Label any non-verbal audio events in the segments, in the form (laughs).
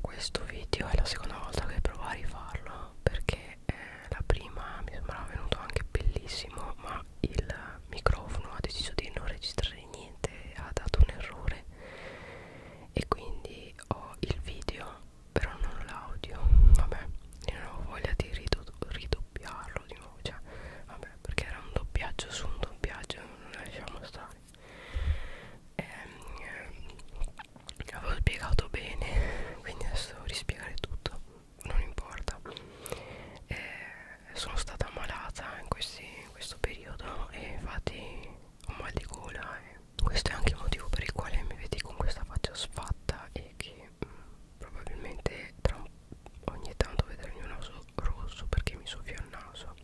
questo video è la seconda volta che provo a rifarlo perché eh, la prima mi sembrava venuto anche bellissimo ma il microfono ha deciso di non registrare niente ha dato un errore e quindi ho il video però non l'audio vabbè io non ho voglia di rido ridoppiarlo di nuovo cioè vabbè perché era un doppiaggio su un doppiaggio non lasciamo stare ehm, ehm, avevo spiegato bene quindi adesso devo rispiegare tutto non importa eh, sono stata ammalata in, questi, in questo periodo e infatti ho mal di gola e questo è anche il motivo per il quale mi vedi con questa faccia sfatta e che mh, mm, probabilmente tra un, ogni tanto vedrò il mio naso rosso perché mi soffia il naso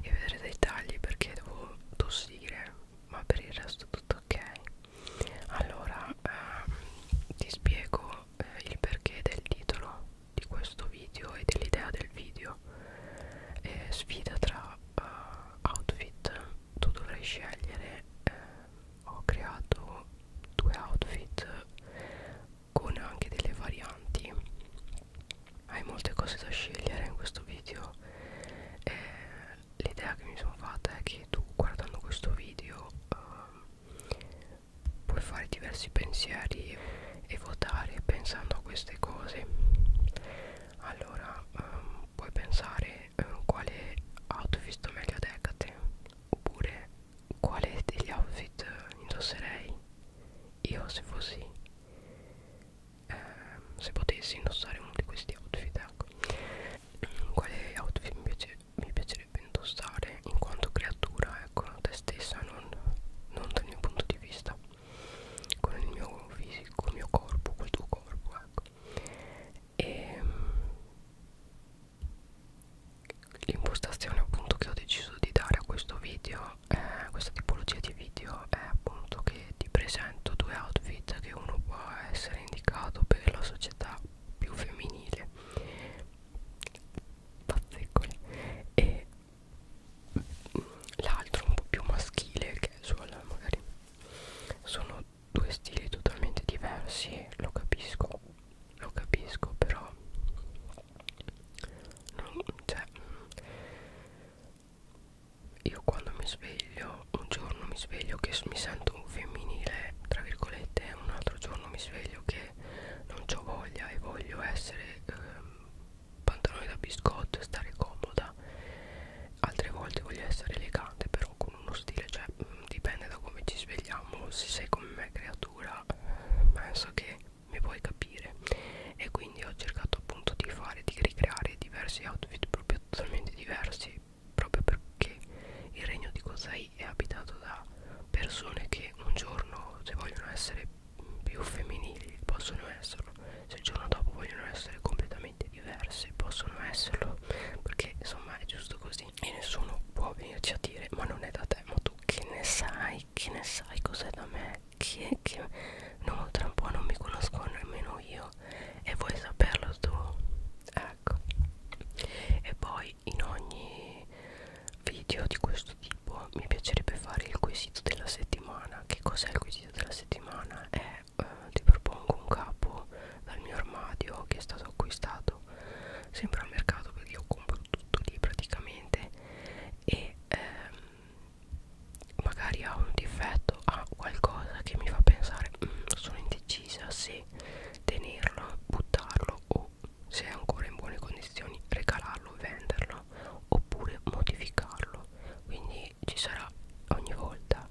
e vedrete i tagli perché devo tossire ma per il resto tutto ok allora ehm, ti spiego eh, il perché del titolo di questo video e dell'idea del video eh, sfida tra eh, outfit tu dovrai scegliere eh, ho creato due outfit con anche delle varianti hai molte cose da scegliere in questo video e l'idea che mi sono fatta è che tu guardando questo video uh, puoi fare diversi pensieri e votare pensando a queste cose allora um, puoi pensare um, quale outfit sto meglio ad Hecate oppure quale degli outfit indosserei io se fossi eh, se potessi indossare uno di questi outfit ecco mm, quale outfit mi, piace, mi piacerebbe indossare in quanto creatura ecco te stessa non, non dal mio punto di vista con il mio fisico il mio corpo col tuo corpo ecco e ehm, l'impostazione appunto che ho deciso di dare a questo video eh, questa tipologia di video è appunto che e ti presento due outfit che uno può essere indicato per la società più femminile pazzeccoli e l'altro un po' più maschile che è sulla magari sono due stili totalmente diversi lo capisco lo capisco però non, cioè, io quando mi sveglio un giorno mi sveglio che mi sento un femminile tra virgolette un altro giorno mi sveglio che non ho voglia e voglio essere eh, pantaloni da biscotto e stare comoda altre volte voglio essere elegante però con uno stile cioè mh, mm, dipende da come ci svegliamo se sei come me creatura penso che mi puoi capire e quindi quindi ho cercato appunto di fare di ricreare diversi outfit proprio totalmente diversi proprio perché il regno di Kozai è abitato da persone che un giorno se vogliono essere più femminili possono esserlo se il giorno dopo vogliono essere completamente diverse possono esserlo perché insomma è giusto così e nessuno può venirci a dire ma non è da te ma tu che ne sai che ne sai cos'è da me chi è che no tra un po' non mi conosco nemmeno io e vuoi saperlo tu ecco e poi in ogni video di questo tipo mi piacerebbe fare il quesito della settimana che cos'è il quesito della settimana è eh, ti propongo un capo dal mio armadio che è stato acquistato sempre al mercato perché io compro tutto lì praticamente e ehm, magari ha un difetto ha qualcosa che mi fa pensare mm, sono indecisa se tenerlo buttarlo o se è ancora in buone condizioni regalarlo venderlo oppure modificarlo quindi ci sarà ogni volta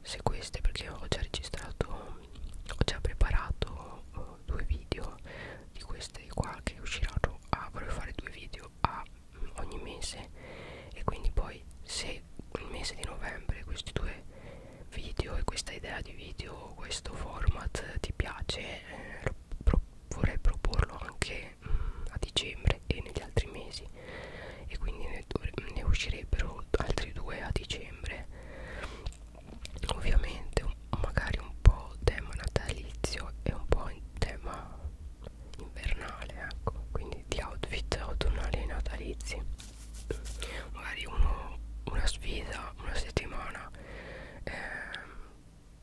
se queste perché ho già registrato ho già preparato uh, due video di queste qua che usciranno ah, vorrei fare due video a ogni mese e quindi poi se il mese di novembre questi due video e questa idea di video questo format ti piace eh, pro vorrei proporlo anche mh, mm, a dicembre e negli altri mesi e quindi ne, ne uscirebbero altri due a dicembre ovviamente magari un po' tema natalizio e un po' in tema invernale ecco quindi di outfit autunnali e natalizi magari uno, una sfida una settimana eh,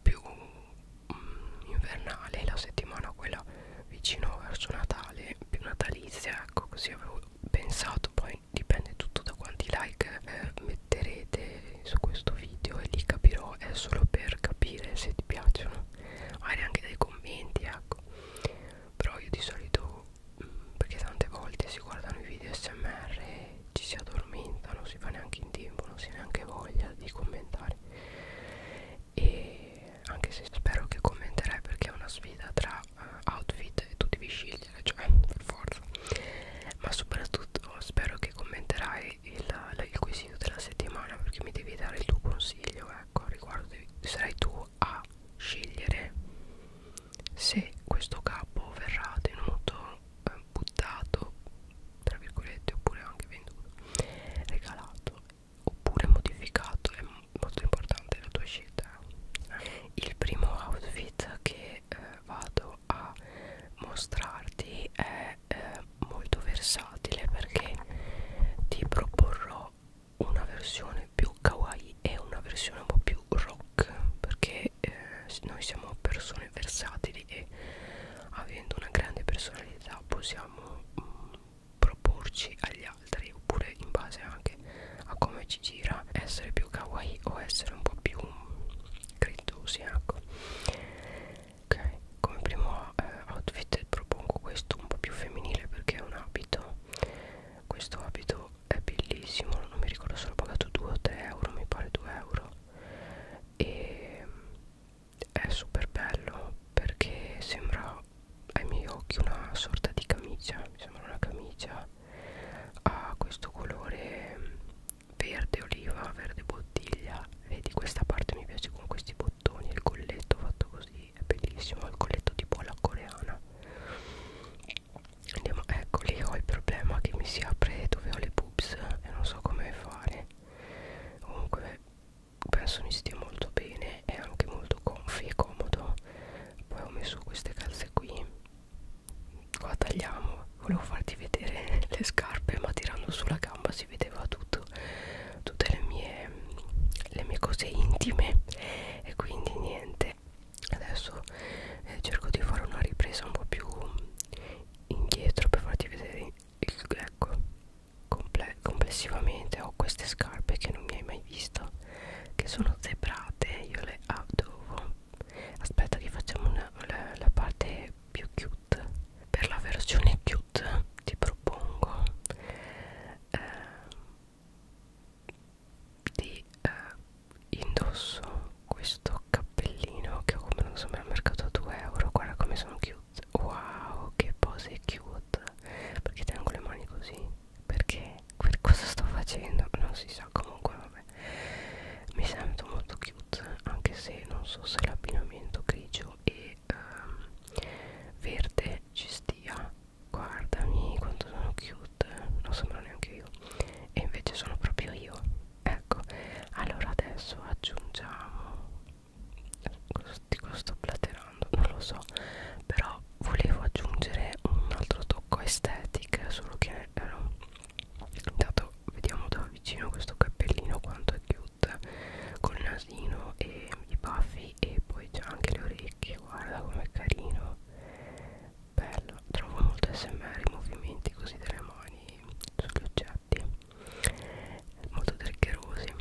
più mh, mm, invernale la settimana quella vicino verso Natale più natalizia ecco così avevo pensato poi dipende tutto da quanti like eh, metterete su questo video e lì capirò è solo per capire se ti piacciono magari anche dai commenti ecco però io di solito mh, mm, perché tante volte si guardano i video smr e ci si addormenta non si fa neanche in tempo non si ha neanche voglia di commentare e anche se spero che commenterai perché è una sfida tra uh, outfit e tu devi scegliere eh, cioè per forza ma soprattutto spero che commenterai il, il quesito della settimana perché mi devi dare il tuo consiglio eh ecco al riguardo devi, sarai tu a scegliere se questo capo verrà tenuto eh, buttato tra virgolette oppure anche venduto regalato oppure modificato è molto importante la tua scelta il primo outfit che eh, vado a mostrarti è è eh, molto versatile perché ti proporrò una versione più kawaii e una versione un po' più rock perché eh, noi siamo persone versatili e avendo una grande personalità possiamo mh, mm, proporci agli altri oppure in base anche a come ci gira essere più kawaii o essere un po' più credosi ecco ok come primo eh, outfit propongo questo un po' più femminile perché è un abito questo abito è bellissimo non mi ricordo se l'ho pagato 2 o 3 euro mi pare 2 euro e mm, è super bello perché sembra ai miei occhi una sorta di camicia mi sembra una camicia ha questo colore mm, verde oliva verde bottiglia vedi questa parte mi piace con questi bottini bottoni il colletto fatto così è bellissimo il colletto tipo alla coreana andiamo ecco lì ho il problema che mi si apre dove ho le boobs e non so come fare comunque penso mi stia molto bene è anche molto comfy e comodo poi ho messo queste calze qui qua tagliamo volevo farti vedere le scarpe ma tirando sulla gamba si vedeva tutto tutte le mie le mie cose intime e quindi niente adesso eh, cerco di fare una ripresa un po' più indietro per farti vedere il ecco comple complessivamente ho queste scarpe che non mi hai mai visto che sono zebrate io le adovo aspetta che facciamo una, la, la parte più cute per la versione cute ti propongo eh, di eh, indosso questo cappellino che ho comprato al mercato a 2 euro guarda come sono cute wow che pose cute perché tengo le mani così perché per cosa sto facendo non si sa comunque vabbè mi sento molto cute anche se non so se l'abbinamento grigio giallo e ehm, verde ci stia guardami quanto sono cute non sono neanche io e invece sono proprio io ecco allora adesso aggiungiamo sti cosa sto platerando non lo so però volevo aggiungere un altro tocco estetico solo che eh, no. intanto vediamo da vicino questo cappellino quanto è chiuso cute col nasino e i baffi e poi c'ha anche le orecchie guarda com'è carino bello trovo molto smr i movimenti così delle mani sugli oggetti molto triggerosi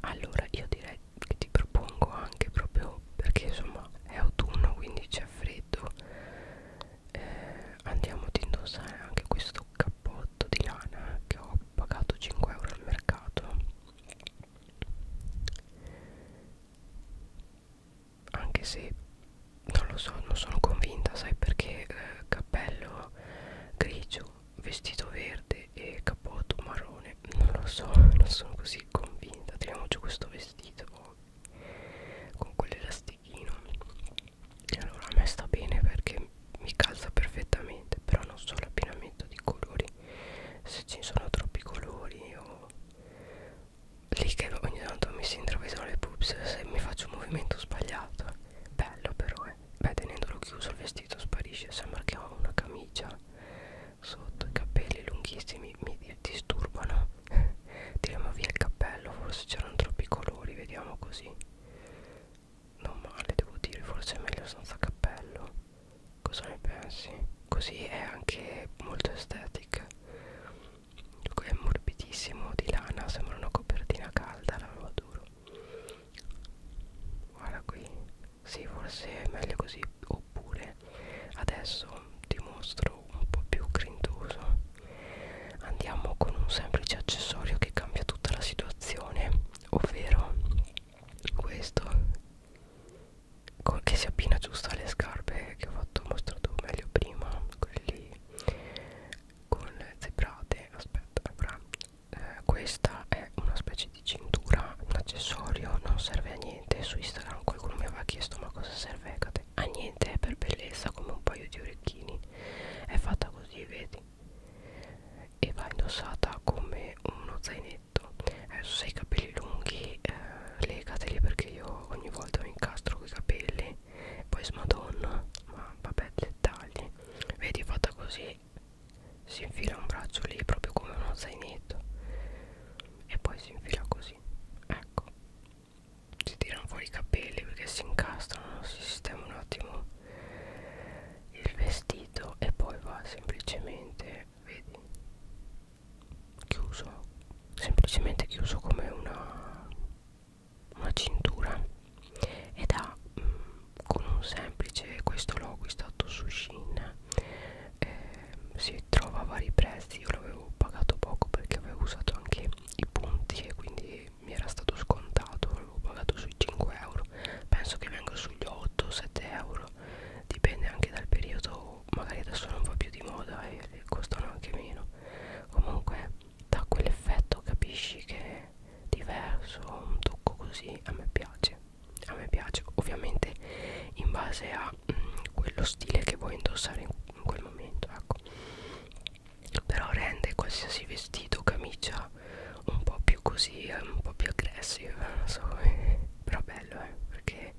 allora io direi che ti propongo anche proprio perché insomma è autunno quindi c'è freddo eh, andiamo ad indossare anche questo cappotto di lana che ho pagato 5 euro al mercato anche se non lo so non sono convinta sai perché eh, cappello grigio vestito verde e cappotto marrone non lo so (laughs) non sono così convinta teniamoci questo vestito con quell'elastichino e cioè, allora a me sta bene perché mi calza perfettamente però non so l'abbinamento di colori se ci sono troppi colori o lì che ogni tanto mi si intravedono le pubs se mi faccio un movimento sbagliato bello però eh beh tenendolo chiuso il vestito sparisce sembra che ho una camicia sotto i capelli lunghissimi mi disturbano (laughs) tiriamo via il cappello forse c'erano troppi colori vediamo così non male devo dire forse è meglio senza cappello cosa ne pensi così è anche molto estetica è morbidissimo di lana sembra una copertina calda la roba duro guarda qui sì forse è meglio così oppure adesso ti mostro un po' più grintoso andiamo con un semplice accessorio che cambia tutta la situazione ovvero questo che si appina giusto alle scarpe che ho fatto ho mostrato meglio prima quelli con le zebrate aspetta avrà eh, questa è una specie di cintura un accessorio non serve a niente su instagram qualcuno mi aveva chiesto ma cosa serve a niente è per bellezza come un paio di orecchini è fatta così vedi e va indossata come uno zainetto adesso se hai i capelli lunghi eh, legateli perché io ogni volta mi incastro con i capelli poi smadonna ma vabbè dettagli vedi fatta così si infila un braccio lì proprio come uno zainetto e poi si infila così ecco si tirano fuori i capelli perché si incastrano si sistema un attimo il vestito e poi va semplicemente vedi chiuso semplicemente chiuso come una, una cintura ed ha mh, mm, con un semplice questo l'ho acquistato su Shein eh, si trova a vari prezzi io l'avevo pagato poco perché avevo usato anche i punti e quindi mi era stato scontato avevo pagato sui 5 euro penso che venga sugli 8 7 euro dipende anche dal periodo magari adesso non va più di moda e costano anche meno comunque da quell'effetto capisci che è diverso un tocco così a me piace a me piace ovviamente in base a mh, mm, quello stile che vuoi indossare in, in quel momento ecco però rende qualsiasi vestito camicia un po' più così eh, un po' più aggressive non so come eh. però bello eh perché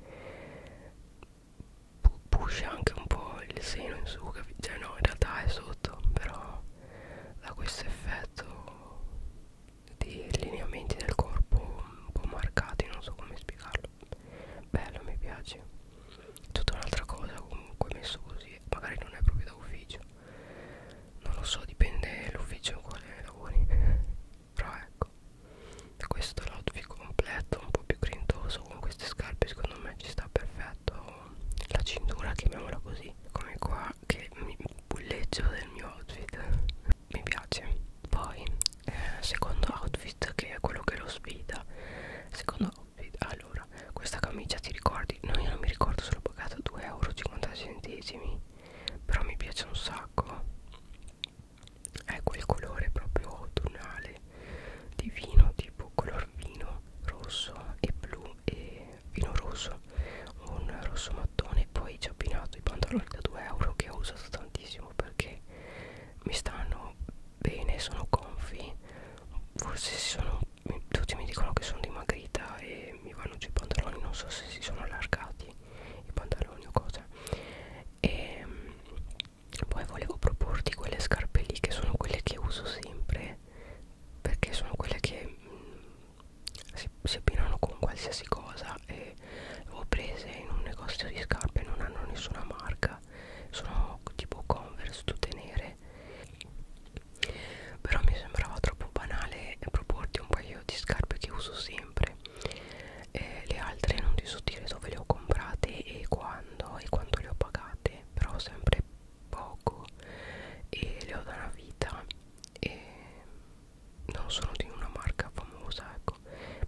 pusha anche un po' il seno in su cioè no in realtà è sotto però da questo effetto di lineamenti del corpo un po' marcati non so come spiegarlo bello mi piace tutta un'altra cosa comunque messo così magari non è proprio da ufficio non lo so dipende l'ufficio in quale lavori (laughs) però ecco questo è l'outfit completo un po' più grintoso con queste scarpe secondo me ci sta perfetto la cintura chiamiamola così come qua che mi bulleggio del mio outfit (laughs) mi piace poi eh, secondo outfit che è quello che lo sfida secondo outfit ha ah, allora, questa camicia ti ricordi? No, io non mi ricordo, sono pagata 2,50 euro. Però mi piace un sacco. È quel colore proprio autunnale, divino, tipo color vino rosso e blu e vino rosso, un rosso mattone. Poi ci ho abbinato i pantaloni da 2 euro che ho usato tantissimo perché mi stanno bene, sono comfy. Forse sono un tutti mi dicono che sono dimagrita e mi vanno giù i pantaloni non so se si sono allargati i pantaloni o cosa e ehm, poi volevo proporti quelle scarpe lì che sono quelle che uso sempre perché sono quelle che mh, mm, si, si abbinano con qualsiasi cosa e le ho prese in un negozio di scarpe non hanno nessuna marca sono tipo converse tutte nere però mi sembrava troppo banale proporti un paio di scarpe che uso sempre eh, le altre non ti so dire dove le ho comprate e quando e quanto le ho pagate però sempre poco e le ho da una vita e non sono di una marca famosa ecco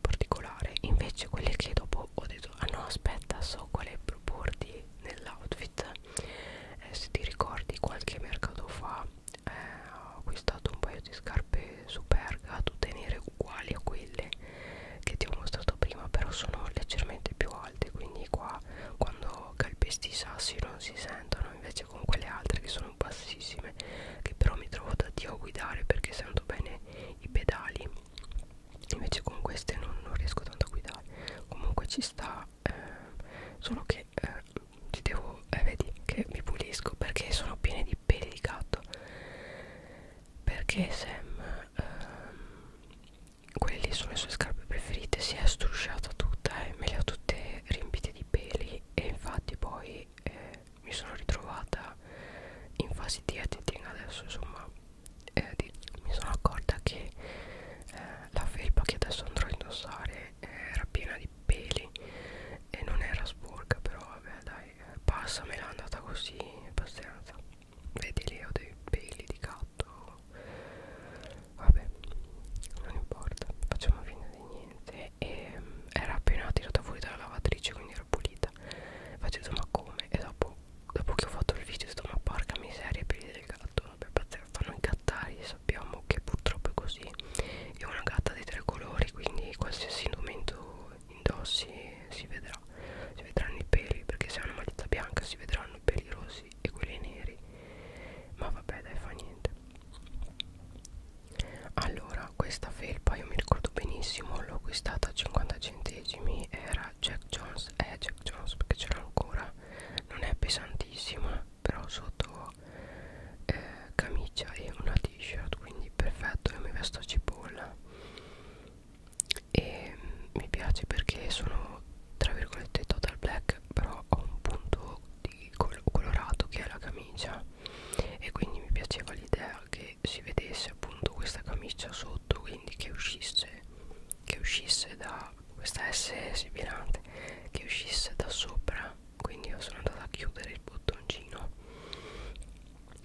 particolare invece quelle che dopo ho detto ah no aspetta so quale proporti nell'outfit eh, se ti ricordi qualche mercato fa eh, ho acquistato un paio di scarpe superga tutte nere uguali a quelle che ti ho mostrato prima però sono leggermente più alte quindi qua quando calpesti i sassi non si sentono invece con quelle altre che sono bassissime che però mi trovo da dio a guidare perché sento bene i pedali invece con queste non, non riesco tanto a guidare comunque ci sta eh, solo che eh, ti devo eh, vedi che mi pulisco perché sono piene di peli di gatto perché Sam eh, quelli sono le sue scarpe preferite si è strusciata tutta e me le ho tutte riempite di peli e infatti poi eh, mi sono ritrovata in fase di editing adesso insomma eh, di, mi sono accorta che eh, la felpa che adesso andrò a indossare era piena di peli e non era sporca però vabbè dai passa me l'ha andata così abbastanza vedi lì ho dei peli di gatto vabbè non importa facciamo finta di niente e mm, era appena tirata fuori dalla lavatrice quindi era pulita faccio ma come e dopo dopo che ho fatto il video sto ma porca miseria i peli del gatto non abbia pazienza fanno incattare sappiamo che purtroppo è così è una gatta dei tre colori quindi qualsiasi indumento indossi si vedrà si vedranno i peli perché se ha una matita bianca si vedranno i peli rossi e quelli neri ma vabbè dai fa niente allora questa felpa io mi ricordo benissimo l'ho acquistata a 50 centesimi era Jack Jones è eh, Jack Jones perché c'era ancora non è pesantissima però sotto eh, camicia e una t-shirt quindi perfetto io mi vesto a cipolla e mm, mi piace perché sono tra virgolette total black però ho un punto di col colorato che è la camicia e quindi mi piaceva l'idea che si vedesse appunto questa camicia sotto quindi che uscisse che uscisse da questa S sibilante che uscisse da sopra quindi io sono andata a chiudere il bottoncino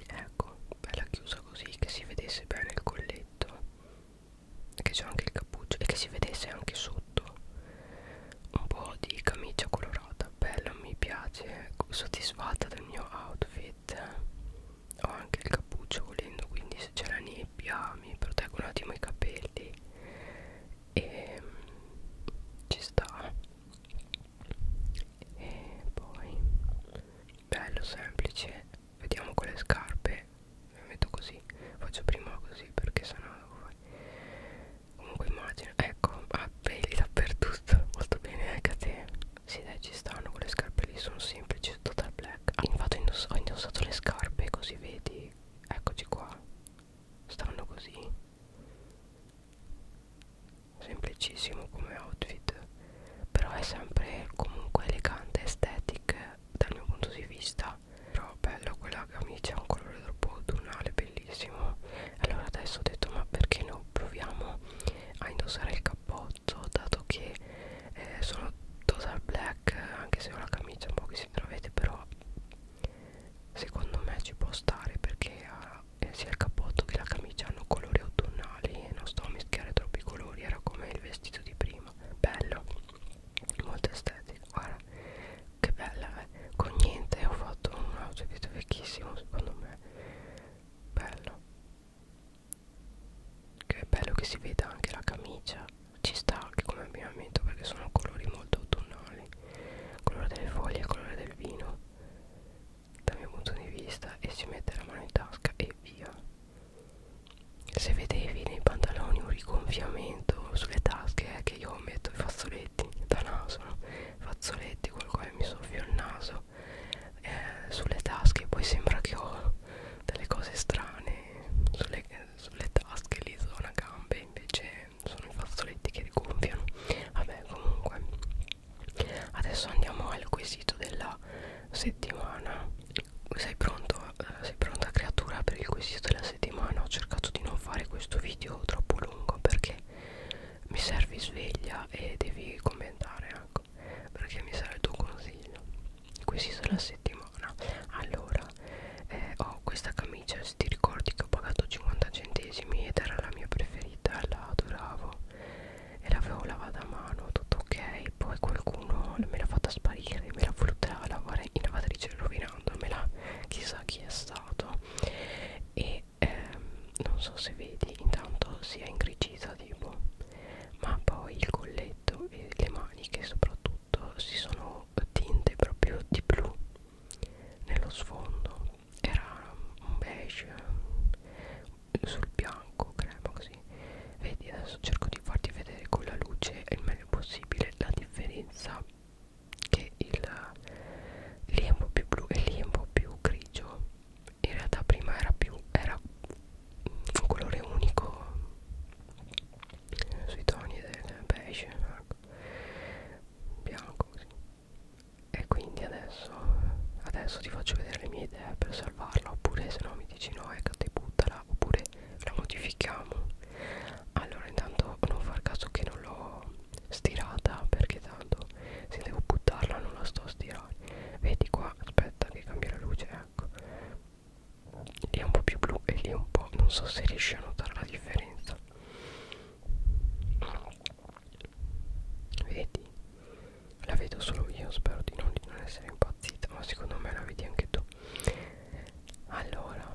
ecco bella chiusa così che si vedesse bene il colletto che c'è anche il cappuccio e che si vedesse anche sotto un po' di camicia colorata bella mi piace ecco, soddisfatta del mio outfit ho anche il cappuccio volendo quindi se c'è la nebbia mi proteggo un attimo i capelli e ci sta e poi bello semplice vediamo con le scarpe mi metto così faccio prima così perché sennò comunque immagino ecco a peli dappertutto molto bene anche eh, a te sì dai ci stanno quelle scarpe lì sono semplici total black ah, infatti ho indossato le scarpe così vedi eccoci qua stanno così semplicissimo come outfit però è sempre comunque elegante estetic dal mio punto di vista però bello quella camicia ha un colore troppo autunnale bellissimo allora adesso ho detto ma perché non proviamo a indossare il cappotto dato che eh, sono total black anche se ho la camicia un po' che si intravede però secondo me ci può stare perché ha, eh, sia il cappotto che la camicia hanno colori autunnali e non sto a mischiare troppi colori era come il vestito di prima bello molto estetico guarda che bella eh. con niente ho fatto un outfit vecchissimo secondo me bello che bello che si veda anche la camicia ci sta anche come abbinamento perché sono colori molto autunnali colore delle foglie e colore del vino dal mio punto di vista e si mette la mano in tasca e via se vedevi nei pantaloni un rigonfiamento sulle tasche è eh, che io metto i fazzoletti da naso no? fazzoletti col quale mi soffio il naso eh, sulle tasche poi sembra che ho delle cose strane sulle, sulle tasche li zona gambe invece sono i fazzoletti che rigonfiano vabbè comunque adesso andiamo al quesito della settimana sei pronto eh, sei pronta creatura per il quesito della settimana ho cercato di non fare questo video troppo lungo perché mi servi sveglia e devi commentare ecco perché mi serve il tuo consiglio questi sono la settimana allora eh, ho questa camicia se ti ricordi che ho pagato 50 centesimi ed era la mia preferita la adoravo e l'avevo lavata a mano tutto ok poi qualcuno me l'ha fatta sparire me l'ha voluta lavare in lavatrice rovinandomela chissà chi è stato e ehm, non so se vedi intanto si è ingrigita tipo ma poi il colletto e le maniche soprattutto si sono sono tinte proprio di blu nello sfondo era un beige mm, sul bianco crema così vedi adesso cerco di farti vedere con la luce il meglio possibile la differenza che il lì è un po' più blu e lì è un po' più grigio in realtà prima era più era un colore unico sui toni del beige ecco. bianco così. e quindi adesso adesso ti faccio vedere le mie idee per salvarla oppure se no mi dici no ecco te buttala oppure la modifichiamo allora intanto non far caso che non l'ho stirata perché tanto se devo buttarla non la sto a stirare vedi qua aspetta che cambia la luce ecco lì è un po' più blu e lì è un po' non so se riesci a notare la differenza vedi la vedo solo io spero di non, di non essere impazzita ma secondo me la vedi anche tu allora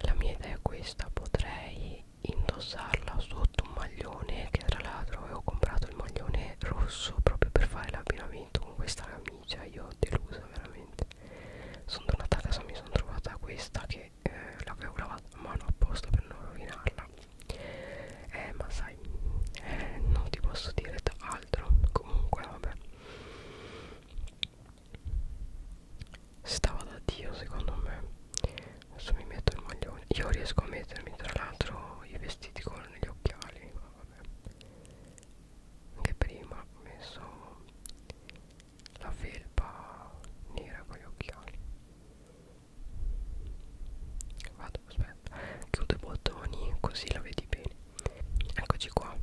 la mia idea è questa potrei indossarla sotto un maglione che tra l'altro avevo comprato il maglione rosso proprio per fare l'abbinamento con questa camicia cioè io ho deluso veramente sono tornata a casa mi sono trovata questa che eh, l'avevo lavata a mano apposta per non rovinarla eh ma sai eh, non ti posso dire altro comunque vabbè stava da dio secondo me adesso mi metto il maglione io riesco a mettermi tra l'altro i vestiti con gli occhiali ma vabbè anche prima ho messo la felpa nera con gli occhiali vado aspetta chiudo i bottoni così la vedi bene eccoci qua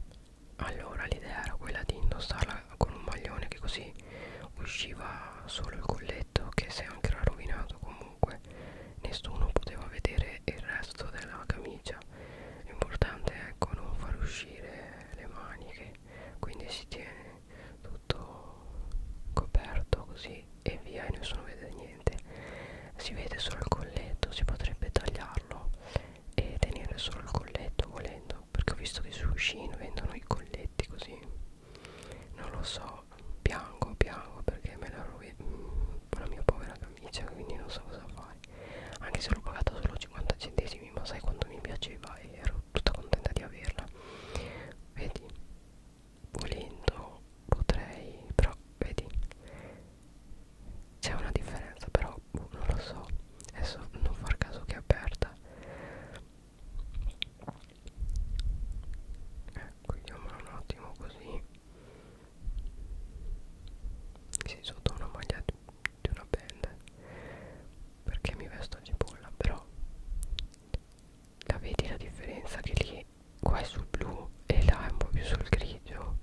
allora l'idea era quella di indossarla con un maglione che così usciva solo il colletto che se anche era rovinato comunque nessuno poteva vedere il resto della camicia l'importante è ecco, non far uscire le maniche quindi si tiene tutto coperto così e via e nessuno vede niente si vede solo il colletto si potrebbe tagliarlo e tenere solo il colletto volendo perché ho visto che su Shein vendono i colletti così non lo so piango piango perché me la rovina mm, la mia povera camicia quindi non so cosa fare anche se l'ho pagata solo 5 50 centesimi ma sai quanto mi piaceva e ero tutta contenta di averla vedi volendo potrei però vedi c'è una differenza però boh, non lo so adesso non far caso che è aperta ecco eh, chiamola un attimo così si sotto una maglia di una band perché mi vesto a cipolla però la vedi la differenza che lì qua è sul blu e là è un po' più sul grigio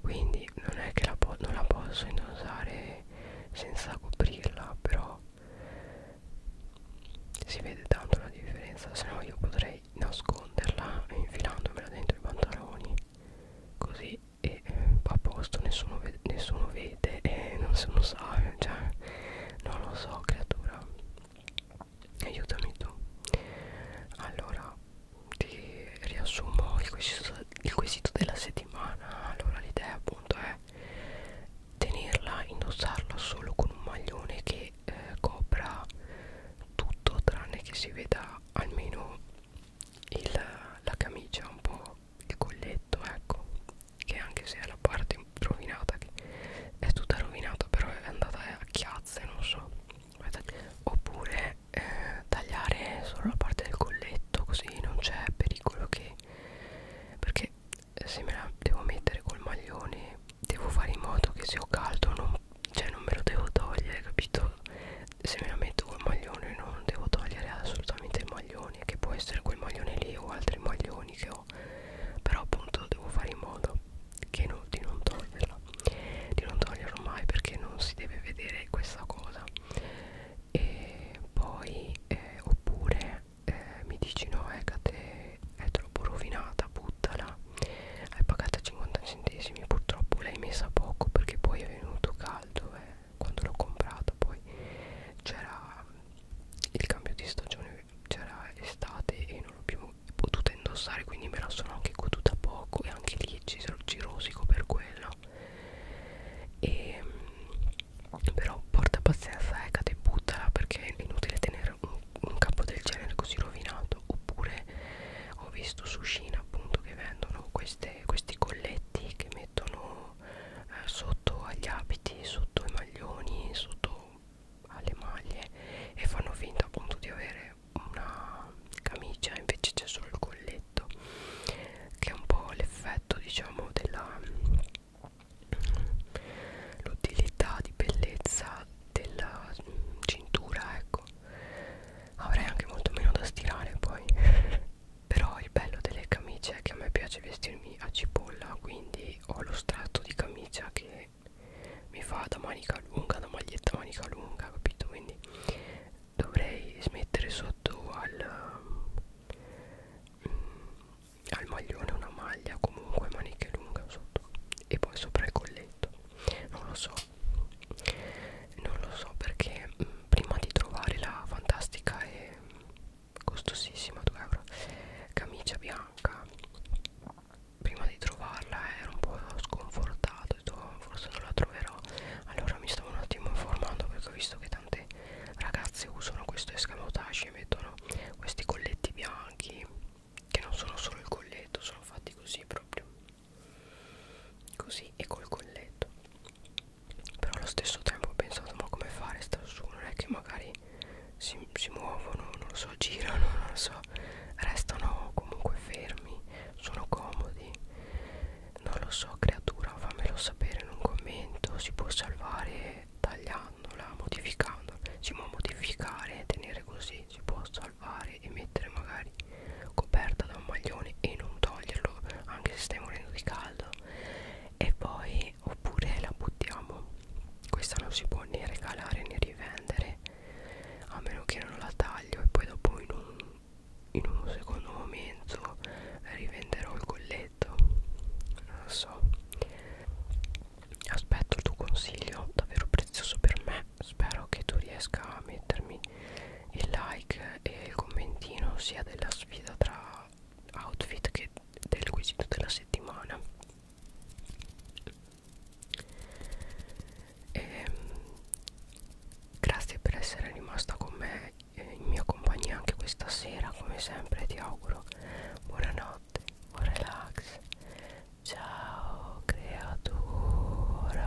quindi non è che la non la posso indossare senza coprirla però si vede tanto la differenza se no io potrei nasconderla infilandomela dentro i pantaloni così e eh, va a posto nessuno vede, nessuno vede e non se lo sa cioè non lo so creatura aiutami tu allora ti riassumo il quesito, il quesito della settimana allora l'idea appunto è tenerla indossarla solo con un maglione che eh, copra tutto tranne che si veda almeno il, la camicia un po' il colletto ecco che anche se è la parte rovinata che è tutta rovinata però è andata a chiazze non so oppure eh, tagliare solo la parte del colletto così non c'è pericolo che perché se me la devo mettere col maglione devo fare in modo che se ho caldo non, cioè non me lo devo togliere capito se me la metto col maglione io non devo togliere assolutamente il maglione che può essere quel maglione lì o altri maglioni che ho però appunto devo fare in modo che no, di non toglierla di non toglierlo mai perché non si deve vedere questa cosa e poi eh, oppure eh, mi dici no Ecate è troppo rovinata buttala hai pagata 50 centesimi purtroppo l'hai messa poco perché poi è venuto caldo eh quando l'ho comprato poi c'era il cambio di stagione c'era estate e non l'ho più potuta indossare quindi me la sono anche goduta poco e anche lì ci, ci rosico per quello e ehm, però porta pazienza Eka eh, te buttala perché è inutile tenere un, un capo del genere così rovinato oppure ho visto su Cina appunto che vendono queste queste, questi colletti che mettono eh, sotto agli abiti, sotto i maglioni, sotto alle maglie e fanno finta appunto di avere una camicia invece c'è solo il colletto che è un po' l'effetto diciamo della l'utilità di bellezza della cintura ecco avrei anche molto meno da stirare poi (laughs) però il bello delle camicie è che a me piace vestirmi a cipolla quindi ho lo strato di camicia che mi fa da manica lunga da maglietta manica lunga capito quindi dovrei smettere sotto al mm, al maglione una maglia comunque maniche lunga sotto e poi sopra il colletto non lo so non lo so perché mh, mm, prima di trovare la fantastica e costosissima 2 euro camicia bianca prima di trovarla ero un po' sconfortato detto, oh, forse non la troverò allora mi stavo un attimo informando perché ho visto che tante ragazze usano questo escamotage e mettono questi colletti bianchi che non sono solo il colletto sono fatti così proprio così e col colletto però allo stesso tempo ho pensato ma come fare sta su non è che magari si, si muovono non lo so girano non lo so restano comunque fermi sono comodi non lo so creatura fammelo sapere in un commento si può salvare tagliandola modificandola si può modificare tenere così si può salvare e mettere magari coperta da un maglione e non toglierlo anche se stai morendo di caldo e poi oppure la buttiamo questa non si può né regalare né rivendere a meno che non la taglio e poi dopo in un, in un secondo momento rivenderò il colletto non lo so aspetto il tuo consiglio davvero prezioso per me spero che tu riesca a mettermi il like e il commentino sia della sfida tra outfit che del quesito della settimana e, ehm, grazie per essere rimasta con me in mia compagnia anche questa sera come sempre ti auguro buonanotte buon relax ciao creatura